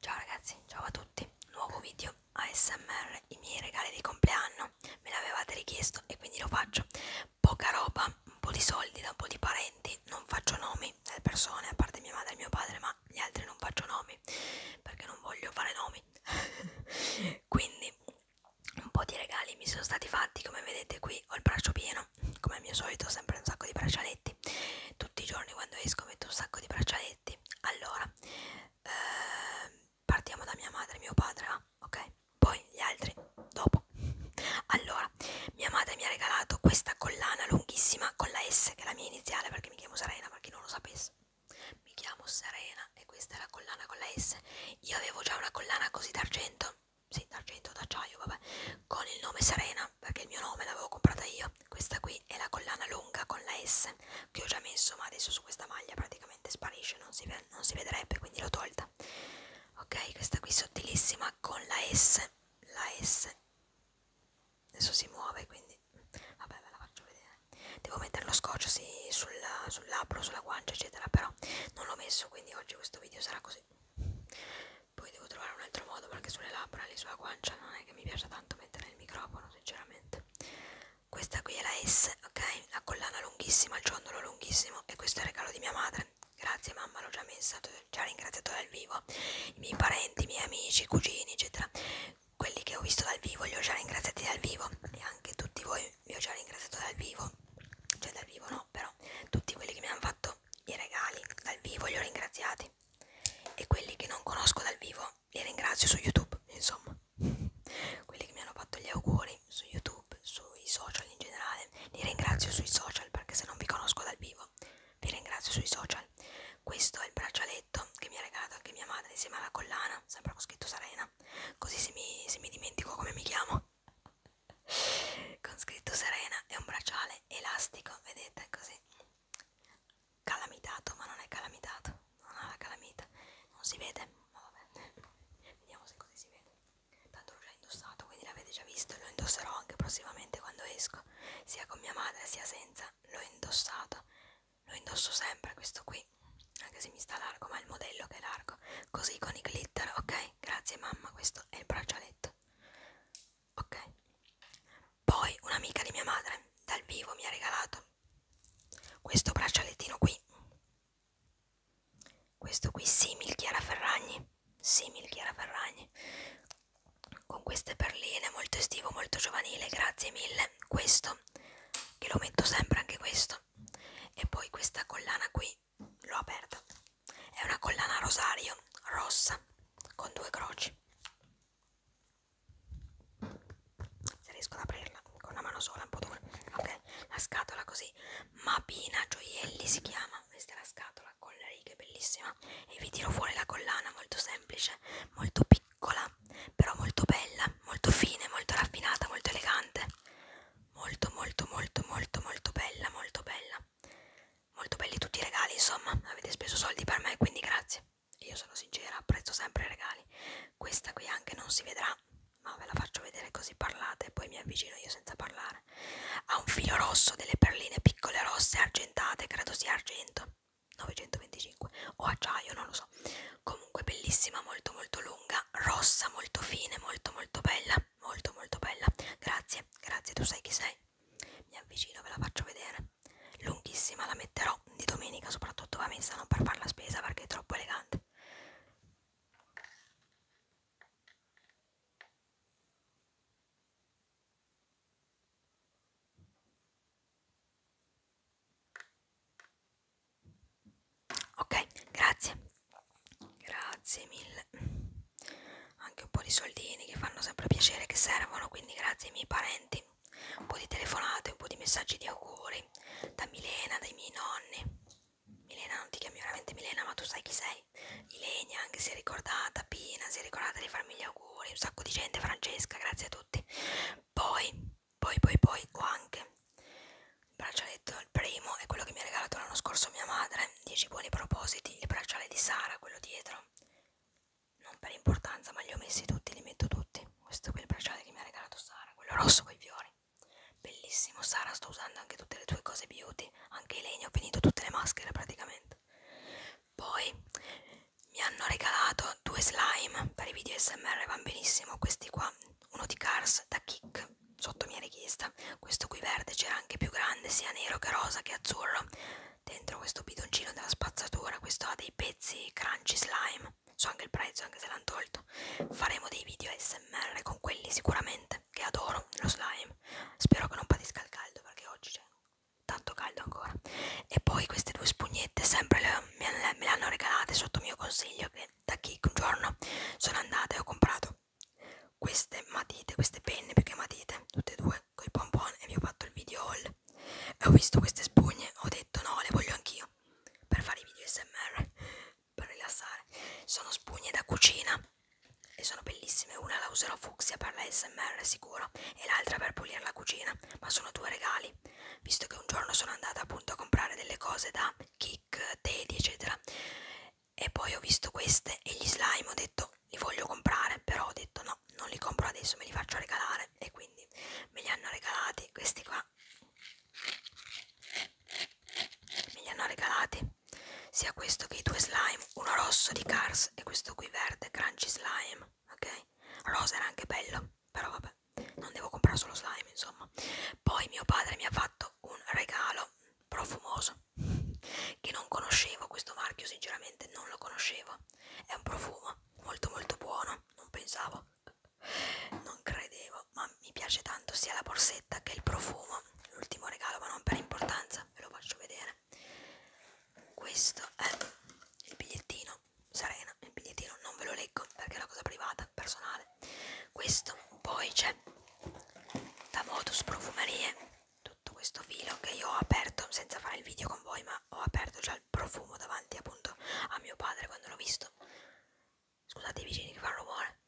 Ciao ragazzi, ciao a tutti, nuovo video ASMR, i miei regali di compleanno, me l'avevate richiesto e quindi lo faccio. Poca roba, un po' di soldi da un po' di parenti, non faccio nomi delle persone, a parte mia madre e mio padre, ma gli altri non faccio nomi, perché non voglio fare nomi. quindi un po' di regali mi sono stati fatti, come vedete qui ho il braccio pieno, come al mio solito, sempre un sacco di braccialetti. Tutti i giorni quando esco metto un sacco di braccialetti spaghetti allora eh, partiamo da mia madre e mio padre ah, ok poi gli altri dopo allora mia madre mi ha regalato questa collana lunghissima con la S che è la mia iniziale perché mi chiamo Serena per chi non lo sapesse mi chiamo Serena e questa è la collana con la S io avevo già una collana così d'argento sì d'argento d'acciaio vabbè con il nome Serena perché il mio nome l'avevo comprata io questa qui è la collana lunga con la S che ho già messo ma adesso su questa maglia praticamente sparisce non si, non si vedrebbe quindi l'ho tolta ok questa qui sottilissima con la S la S adesso si muove quindi vabbè ve la faccio vedere devo mettere lo scotch sì, sul, sul labbro sulla guancia eccetera però non l'ho messo quindi oggi questo video sarà così poi devo trovare un altro modo perché sulle labbra lì sulla guancia non è che mi piace tanto mettere il microfono sinceramente questa qui è la S ok la collana lunghissima il ciondolo lunghissimo e questo è il regalo di mia madre grazie mamma l'ho già messa ho già ringraziato dal vivo i miei parenti i miei amici i cugini eccetera quelli che ho visto dal vivo li ho già ringraziati dal vivo e anche tutti voi vi ho già ringraziato dal vivo cioè dal vivo no però tutti quelli che mi hanno fatto i regali dal vivo li ho ringraziati e quelli che non conosco dal vivo li ringrazio su YouTube, insomma, quelli che mi hanno fatto gli auguri su YouTube, sui social in generale, li ringrazio sui social perché se non vi conosco dal vivo vi ringrazio sui social. Questo è il braccialetto che mi ha regalato anche mia madre insieme alla collana, sempre con scritto Serena, così se mi, se mi dimentico come mi chiamo, con scritto Serena è un bracciale è elastico, vedete così calamitato, ma non è calamitato, non ha la calamita, non si vede, ma vabbè, vediamo se così si vede. Tanto l'ho già indossato, quindi l'avete già visto, lo indosserò anche prossimamente quando esco, sia con mia madre sia senza, l'ho indossato, lo indosso sempre questo qui, anche se mi sta largo, ma è il modello che è largo, così con i glitter, ok? Grazie mamma, questo è il braccialetto ok poi un'amica di mia madre dal vivo mi ha regalato questo braccialettino qui questo qui simil Chiara Ferragni simil Chiara Ferragni con queste perline molto estivo molto giovanile grazie mille questo che lo metto sempre anche questo e poi questa collana qui l'ho aperta è una collana rosario rossa con due croci. Se riesco ad aprirla con una mano sola è un po' dura. Ok, la scatola così. Mapina gioielli si chiama. Questa è la scatola con le righe, bellissima. E vi tiro fuori la collana, molto semplice, molto piccola, però molto bella, molto fine, molto raffinata, molto elegante. Molto molto molto molto molto bella, molto bella molto belli tutti i regali, insomma, avete speso soldi per me, quindi grazie. Io sono sincera, apprezzo sempre i regali. Questa qui anche non si vedrà, ma ve la faccio vedere così parlate e poi mi avvicino io senza parlare. Ha un filo rosso, delle perline piccole rosse argentate, credo sia argento. 925 o acciaio, non lo so. Comunque bellissima, molto molto lunga, rossa, molto fine, molto molto bella molto molto bella grazie grazie tu sai chi sei mi avvicino ve la faccio vedere lunghissima la metterò di domenica soprattutto va messa non per fare la spesa perché è troppo elegante ok grazie Grazie mille. Anche un po' di soldini che fanno sempre piacere, che servono, quindi grazie ai miei parenti. Un po' di telefonate, un po' di messaggi di auguri da Milena, dai miei nonni. Milena non ti chiami veramente Milena, ma tu sai chi sei. Ilenia anche si è ricordata, Pina si è ricordata di farmi gli auguri, un sacco di gente, Francesca, grazie a tutti. Poi, poi, poi, poi ho anche il braccialetto, il primo, è quello che mi ha regalato l'anno scorso mia madre, 10 buoni propositi, il bracciale di Sara, quello dietro, non per importanza, ma li ho messi tutti, li metto tutti. Questo qui è il bracciale che mi ha regalato Sara, quello rosso con i fiori. Bellissimo, Sara, sto usando anche tutte le tue cose beauty, anche i legni, ho finito tutte le maschere praticamente. Poi mi hanno regalato due slime per i video SMR, van benissimo, questi qua, uno di Cars da Kick sotto mia richiesta questo qui verde c'era anche più grande sia nero che rosa che azzurro dentro questo bidoncino della spazzatura questo ha dei pezzi crunchy slime so anche il prezzo anche se l'hanno tolto faremo dei video smr con quelli sicuramente che adoro lo slime spero che non patisca il caldo perché oggi c'è tanto caldo ancora e poi queste due spugnette sempre le, me le hanno regalate sotto mio consiglio che da chi un giorno sono andata e ho comprato queste matite, queste penne, perché matite, tutte e due, con i pompon e vi ho fatto il video haul e ho visto queste spugne, ho detto no, le voglio anch'io per fare i video smr, per rilassare sono spugne da cucina e sono bellissime, una la userò fucsia per la smr sicuro e l'altra per pulire la cucina, ma sono due regali visto che un giorno sono andata appunto a comprare delle cose da Kik, Teddy eccetera e poi ho visto queste e gli slime ho detto li voglio comprare però ho detto no non li compro adesso me li faccio regalare e quindi me li hanno regalati questi qua me li hanno regalati sia questo che i due slime uno rosso di Cars e questo qui verde crunchy slime ok rosa era anche bello però vabbè non devo comprare solo slime insomma poi mio padre mi ha fatto un regalo profumoso che non conoscevo questo marchio sinceramente non lo conoscevo è un profumo molto molto buono non pensavo non credevo ma mi piace tanto sia la borsetta che il profumo l'ultimo regalo ma non per importanza ve lo faccio vedere questo è il bigliettino Serena il bigliettino non ve lo leggo perché è una cosa privata personale questo poi c'è da modus profumerie tutto questo filo che io ho aperto senza fare il video con voi ma ho aperto già il profumo davanti appunto a mio padre quando l'ho visto scusate i vicini che fanno rumore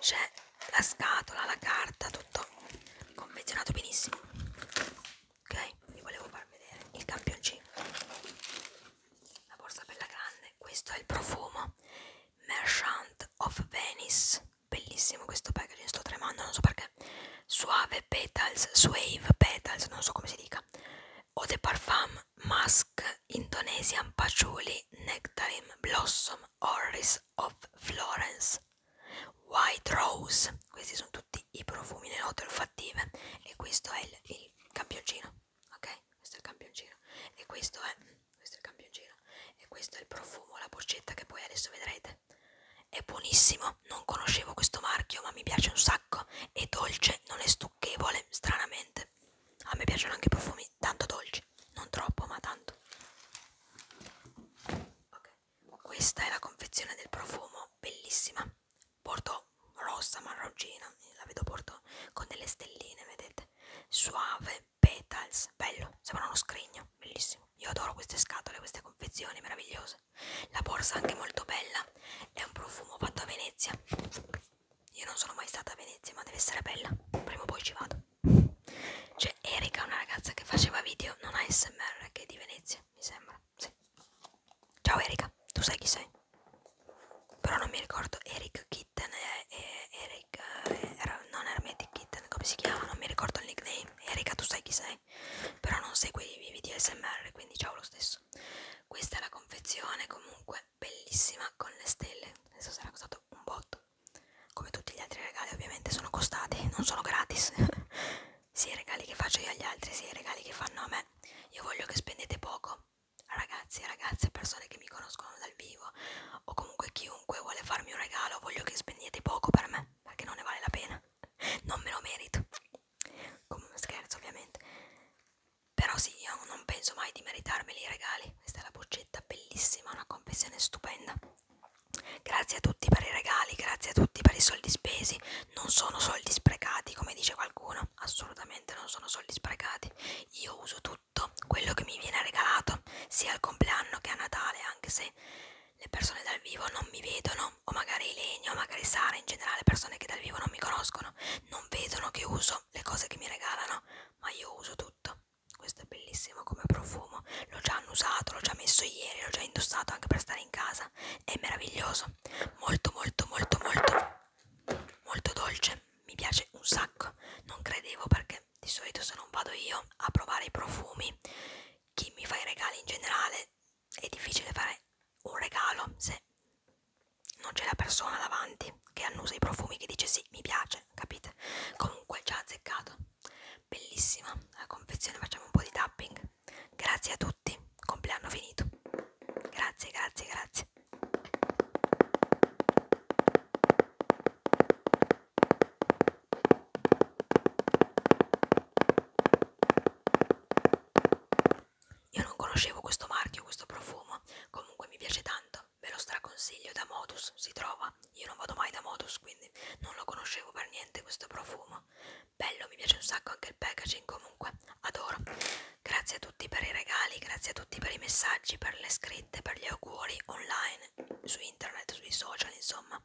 c'è la scatola, la carta, tutto confezionato benissimo ok, vi volevo far vedere il campioncino la borsa bella grande questo è il profumo Merchant of Venice bellissimo questo packaging sto tremando non so perché Suave Petals Suave Petals non so come si dica Eau de Parfum Musk Indonesian Patchouli Nectarine Blossom Orris of Florence White Rose questi sono tutti i profumi le note olfattive e questo è il, il campioncino ok? Questo è il campioncino e questo è, questo è il campioncino e questo è il profumo, la boccetta che poi adesso vedrete. È buonissimo, non conoscevo questo marchio, ma mi piace un sacco. È dolce, non è stucchevole, stranamente. A me piacciono anche i profumi tanto dolci, non troppo, ma tanto. Ok, questa è la confezione del profumo, bellissima bordeaux rossa marroncina la vedo bordeaux con delle stelline vedete suave petals bello sembra uno scrigno bellissimo io adoro queste scatole queste confezioni meravigliose la borsa anche molto bella è un profumo fatto a venezia io non sono mai stata a venezia ma deve essere bella prima o poi ci vado c'è Erika una ragazza che faceva video non ASMR che è di venezia mi sembra sì. Ciao Erika, tu sai chi sei? Però non mi ricordo, Eric Kitten e, e Eric, eh, era, non Hermetic Kitten, come si chiama? Non mi ricordo il nickname. Erika, tu sai chi sei? Però non segui i video SMR, quindi ciao lo stesso. Questa è la confezione, comunque bellissima con le stelle. Adesso sarà costato un botto. Come tutti gli altri regali ovviamente sono costati, non sono gratis. sia i regali che faccio io agli altri sia i regali che fanno a me io voglio che spendete poco ragazzi e ragazze persone che mi conoscono dal vivo o comunque chiunque vuole farmi un regalo voglio che spendete poco per me perché non ne vale la pena non me lo merito come scherzo ovviamente però sì io non penso mai di meritarmeli i regali questa è la boccetta bellissima una confessione stupenda grazie a tutti per i regali grazie a tutti per i soldi spesi non sono soldi sprecati come dice qualcuno assolutamente non sono soldi sprecati io uso tutto quello che mi viene regalato sia al compleanno che a Natale anche se le persone dal vivo non mi vedono o magari Legno, magari Sara in generale persone che dal vivo non mi conoscono non vedono che uso le cose che mi regalano ma io uso tutto questo è bellissimo come profumo l'ho già annusato, l'ho già messo ieri l'ho già indossato anche per stare in casa è meraviglioso molto molto molto molto molto dolce mi piace un sacco non credevo perché di solito se non vado io a provare i profumi chi mi fa i regali in generale è difficile fare un regalo se non c'è la persona davanti che annusa i profumi che dice sì mi piace capite comunque già azzeccato bellissima la confezione facciamo un po' di tapping Grazie a tutti, compleanno finito. Grazie, grazie, grazie. Io non conoscevo questo marchio, questo profumo, comunque mi piace tanto, ve lo straconsiglio da Modus, si trova, io non vado mai da Modus, quindi non lo conoscevo per niente questo profumo, bello mi piace un sacco anche il packaging comunque adoro grazie a tutti per i regali grazie a tutti per i messaggi per le scritte per gli auguri online su internet sui social insomma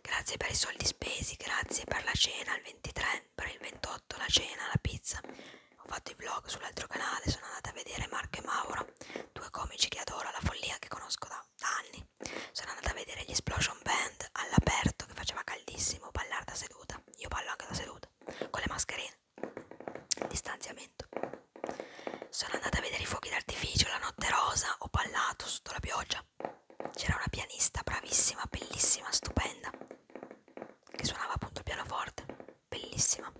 grazie per i soldi spesi grazie per la cena il 23 per il 28 la cena la pizza ho fatto i vlog sull'altro canale sono andata a vedere Marco e Mauro due comici che adoro la follia che conosco da sa, da anni. Sono andata a vedere gli Explosion Band all'aperto che faceva caldissimo ballare da seduta. Io ballo anche da seduta, con le mascherine. Distanziamento. Sono andata a vedere i fuochi d'artificio, la notte rosa, ho ballato sotto la pioggia. C'era una pianista bravissima, bellissima, stupenda, che suonava appunto il pianoforte, bellissima,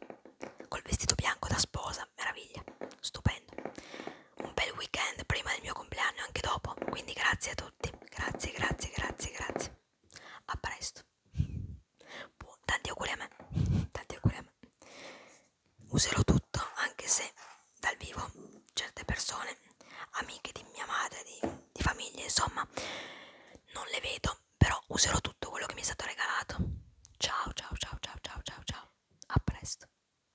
col vestito bianco da sposa, meraviglia, stupendo un bel weekend prima del mio compleanno e anche dopo. Quindi grazie a tutti. Grazie, grazie, grazie, grazie. A presto. Buon, tanti auguri a me. Tanti auguri a me. Userò tutto, anche se dal vivo certe persone, amiche di mia madre, di, di famiglia, insomma, non le vedo, però userò tutto quello che mi è stato regalato. Ciao, ciao, ciao, ciao, ciao, ciao, ciao. A presto.